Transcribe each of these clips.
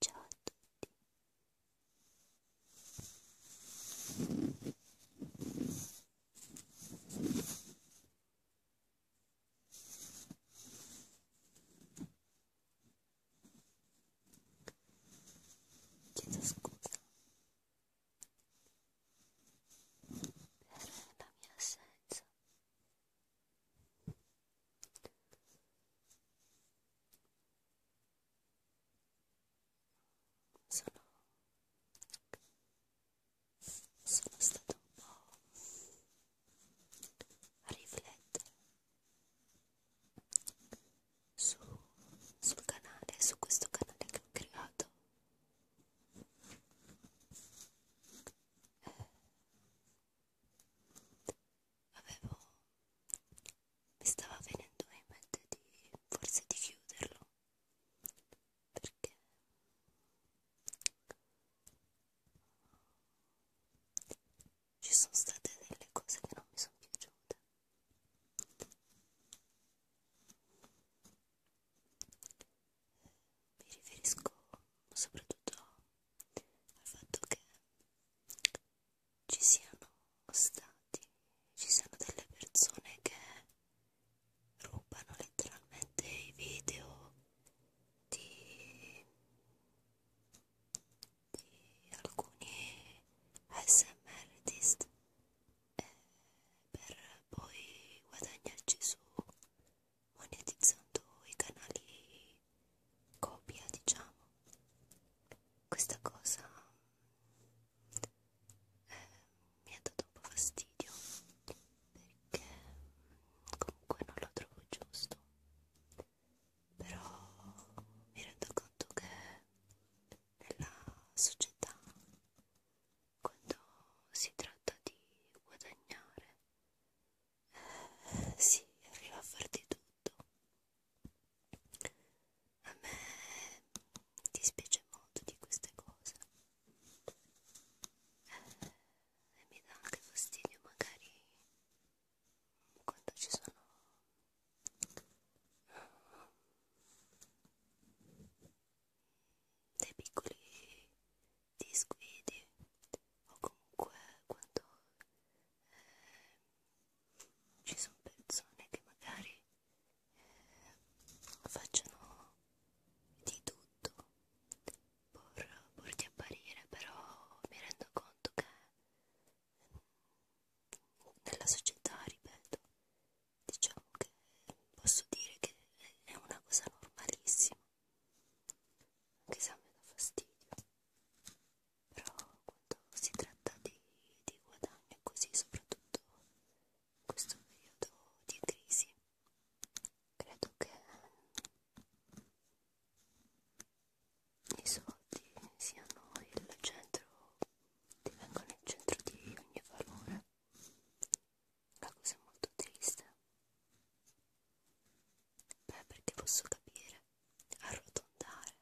Ciao a tutti. Chiedo scusa per la mia assenza sono, sono stato un po' a riflettere su, sul canale, su questo canale che ho creato. Eh, avevo mi stava venendo in mente di forse di chiuderlo perché ci sono state delle cose che non mi sono piaciute mi riferisco soprattutto al fatto che ci siano stati, ci siano delle persone che rubano letteralmente i video di, di alcuni ASMR artist eh, per poi guadagnarci su monetizzando i canali copia diciamo questa cosa eh, mi ha dato un po' fastidio perché comunque non lo trovo giusto però mi rendo conto che nella società quando si tratta di guadagnare sì, arriva a far di tutto. A me dispiace molto di queste cose eh, e mi dà anche fastidio magari quando ci sono eh, dei piccoli disguidi o comunque quando eh, ci sono persone che magari eh, facciano di tutto pur, pur di apparire però mi rendo conto che nella società, ripeto, diciamo che posso dire che è una cosa normalissima l'esame dà fastidio, però quando si tratta di, di guadagno così, soprattutto in questo periodo di crisi, credo che i soldi siano il centro, divengano il centro di ogni valore una cosa molto triste. Beh, perché posso capire, arrotondare,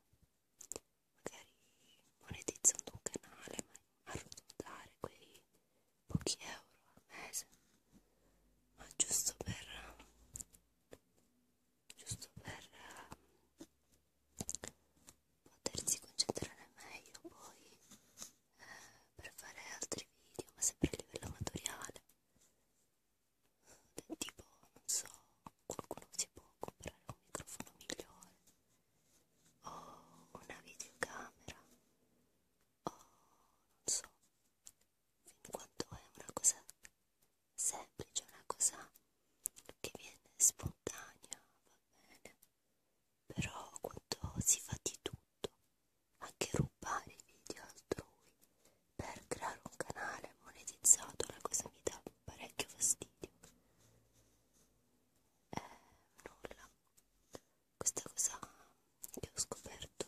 magari monetizzando un canale, ma arrotondare quei pochi euro al mese, ma giusto per giusto per ehm, potersi concentrare meglio poi per fare altri video ma sempre a livello amatoriale tipo non so qualcuno si può comprare un microfono migliore o una videocamera o non so fin quanto è una cosa semplice una cosa che viene spontanea va bene però quanto si fatica tutto, anche rubare i video altrui per creare un canale monetizzato, la cosa mi dà parecchio fastidio. Eh, nulla, questa cosa che ho scoperto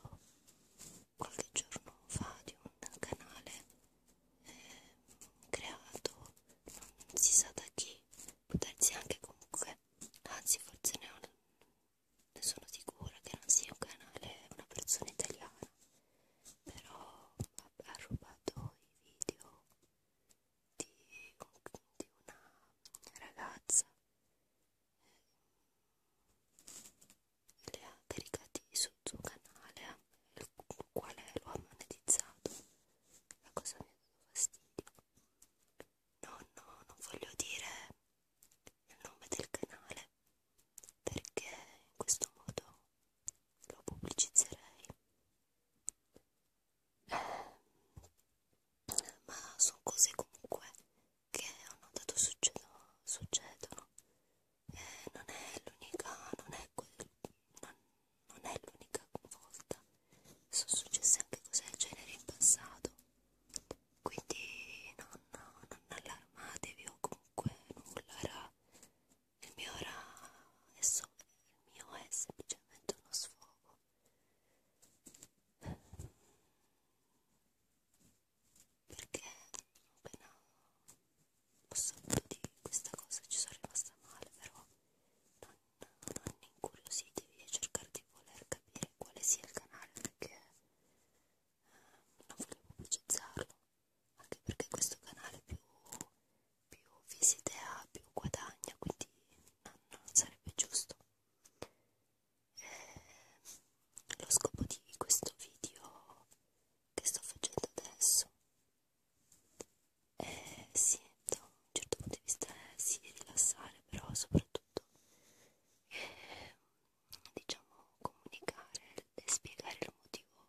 qualche giorno fa di un canale eh, creato non si sa da chi, può darsi anche comunque, anzi forse ne ho ne sono sicura che non sia un canale, una persona italiana, però vabbè, ha rubato i video di, di una ragazza eh, le ha caricati sul suo canale il quale lo ha monetizzato la cosa mi ha dato fastidio no no non voglio dire il nome del canale perché in questo modo lo pubblicizzerei eh, ma sono cose comunque che hanno dato succedono, succedono. Eh, non è l'unica non è, non, non è l'unica volta sono successe anche cose del genere in passato quindi non, non allarmatevi o comunque nulla era il mio era adesso il mio è semplicemente uno sfogo perché appena ho saputo di questa cosa ci sono rimasta male però non, non incuriositevi a cercare di di voler capire quale sia il canale perché eh, non volevo pubblicizzarlo anche perché questo canale più, più visite ha più guadagna quindi non, non sarebbe giusto eh, lo scopo di questo video che sto facendo adesso eh, sì, da un certo punto di vista è eh, sì, rilassare, però soprattutto eh, diciamo comunicare e spiegare il motivo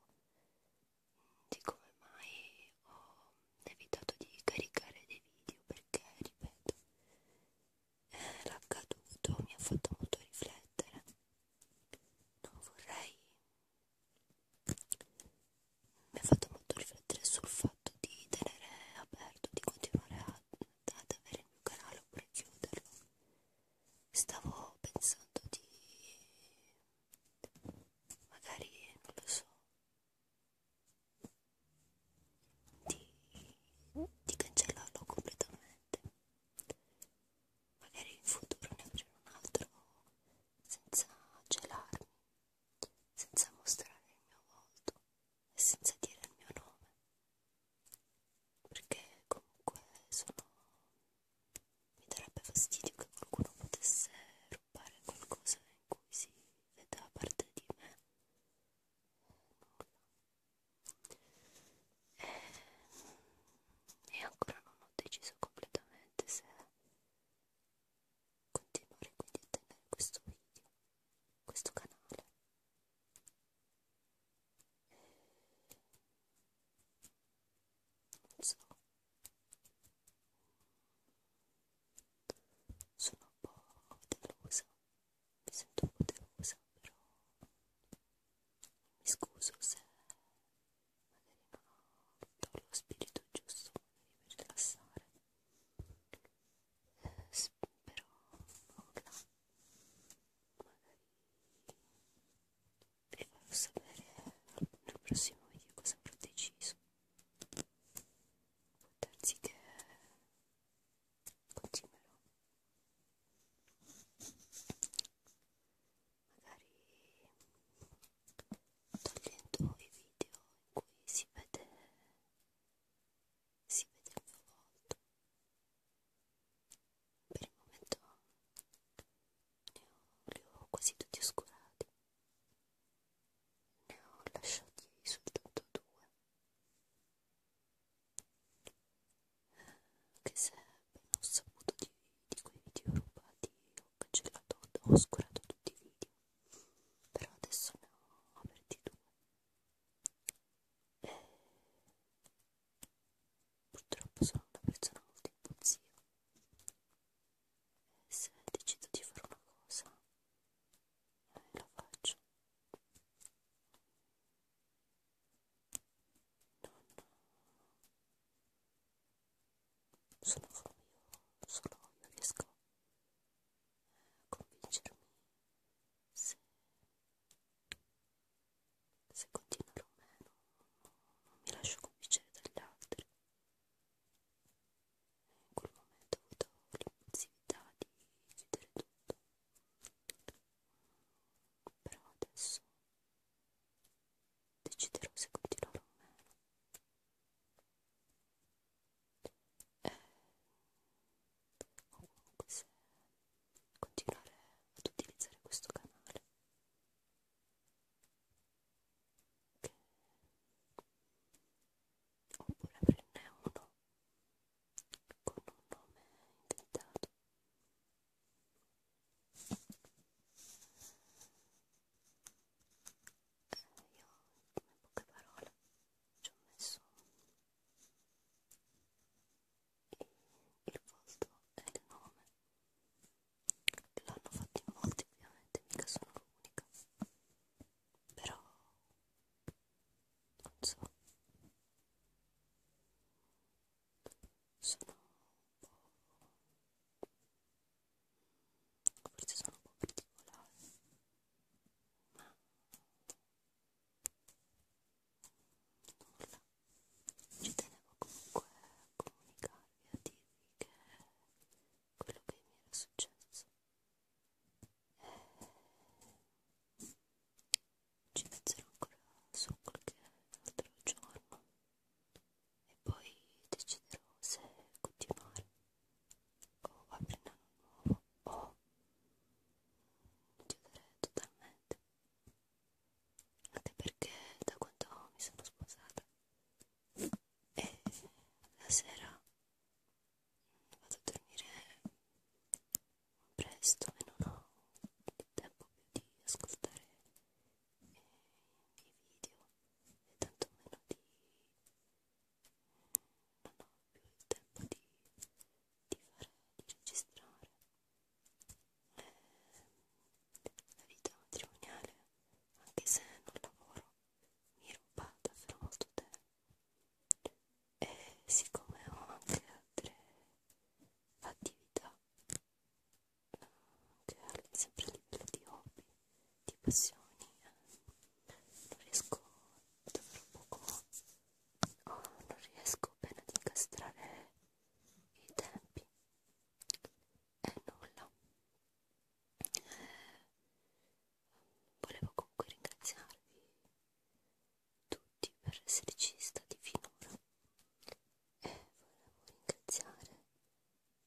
di come mai ho evitato di caricare dei video perché ripeto eh, l'accaduto mi ha fatto molto riflettere non vorrei mi ha fatto molto riflettere sul fatto di tenere aperto di continuare a ad avere un canale oppure chiuderlo stavo pensando di magari non lo so di, di cancellarlo completamente magari in futuro ne aprirò un altro senza gelarmi senza mostrare il mio volto e senza dire il mio nome perché comunque sono mi darebbe fastidio che qualcuno potesse rubare qualcosa in cui si veda parte di me e, e ancora non ho deciso completamente se continuare quindi a tenere questo video questo canale non so sono un po' delusa mi sento un po' delusa però mi scuso se magari non ho lo spirito giusto magari per rilassare però nulla magari vi farò sapere nel prossimo video cosa avrò deciso può darsi che continuerò magari togliendo i video in cui si vede si vede il mio volto. Per il momento ne ho, li ho quasi tutti oscurati. Ne ho lasciati soltanto due. Che se non ho saputo di, di quei video rubati ho cancellato, ho oscurato tutti i video. Però adesso ne ho aperti due eh, purtroppo sono una persona molto impulsiva eh, se decido di fare una cosa eh, la faccio non sono solo io solo io riesco convincermi se, se continuerò o meno, non mi lascio convincere dagli altri. In quel momento ho avuto l'impulsività di chiudere tutto, però adesso deciderò se continuare o meno e comunque se continuare ad utilizzare questo canale che oppure aprirne uno con un nome inventato io in poche parole ci ho messo il volto e il nome l'hanno fatto in molti ovviamente mica sono l'unica però non so sono un po' forse sono un po' particolari ma nulla ci tenevo comunque a comunicarvi a dirvi che quello che mi era successo e... Eh, ci penserò ancora su qualche altro giorno e poi deciderò se continuare o oh, aprirne uno nuovo oh. o chiudere totalmente anche perché da quando mi sono sposata e eh, la sera vado a dormire presto e non ho il tempo più di ascoltare i miei video e tanto meno di non ho più il tempo di, di fare, di registrare eh, la vita matrimoniale anche se non lavoro mi è rubata per molto tempo e siccome ho anche altre attività anche eh, sempre a livello di hobby di passioni eh. non riesco davvero poco oh, non riesco bene ad incastrare i tempi e eh, nulla eh, volevo comunque ringraziarvi tutti per esserci stati finora e volevo ringraziare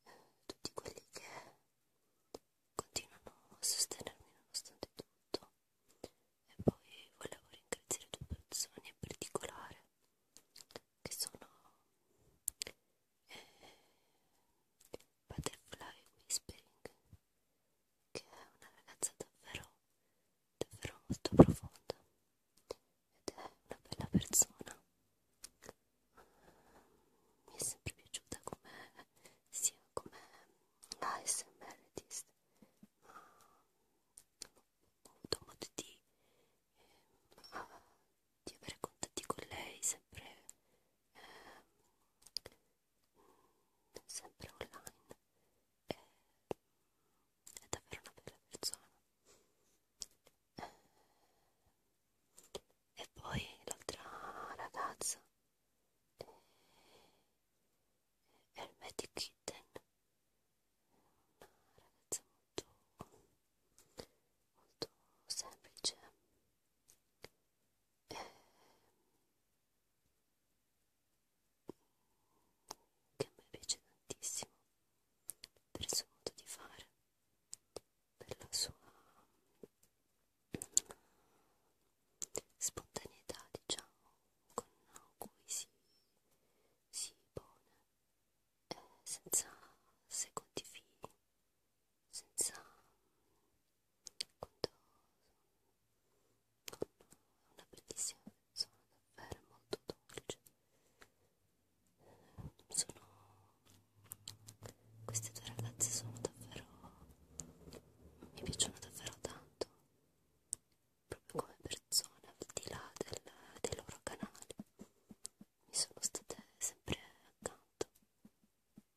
eh, tutti quelli che continuano a sostenermi nonostante tutto e poi volevo ringraziare due persone in particolare che sono eh, Butterfly Whispering che è una ragazza davvero davvero molto profonda ed è una bella persona mi è sempre piaciuta come sia come ASMR artist ma ho avuto modo di, eh, a, di avere contatti con lei sempre eh, sempre online e, è davvero una bella persona eh, e poi l'altra ragazza è il Magic Kitten una ragazza molto molto semplice e che a me piace tantissimo per il suo modo di fare della sua spontaneità diciamo con cui si, si pone eh, senza secondi fini senza quando con una bellissima persona davvero molto dolce sono queste due ragazze sono davvero... mi piacciono davvero tanto, proprio come persone, al di là del, dei loro canali. Mi sono state sempre accanto.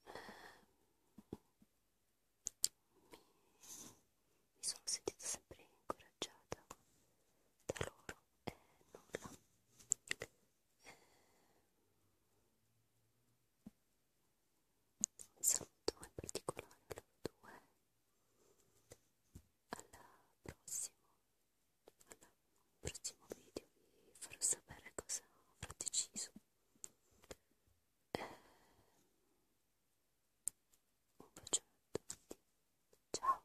Mi, ehm, mi sono sentita sempre incoraggiata da loro e nulla un saluto in particolare a loro due alla prossima al prossimo video vi farò sapere cosa ho deciso eh, un bacione a tutti ciao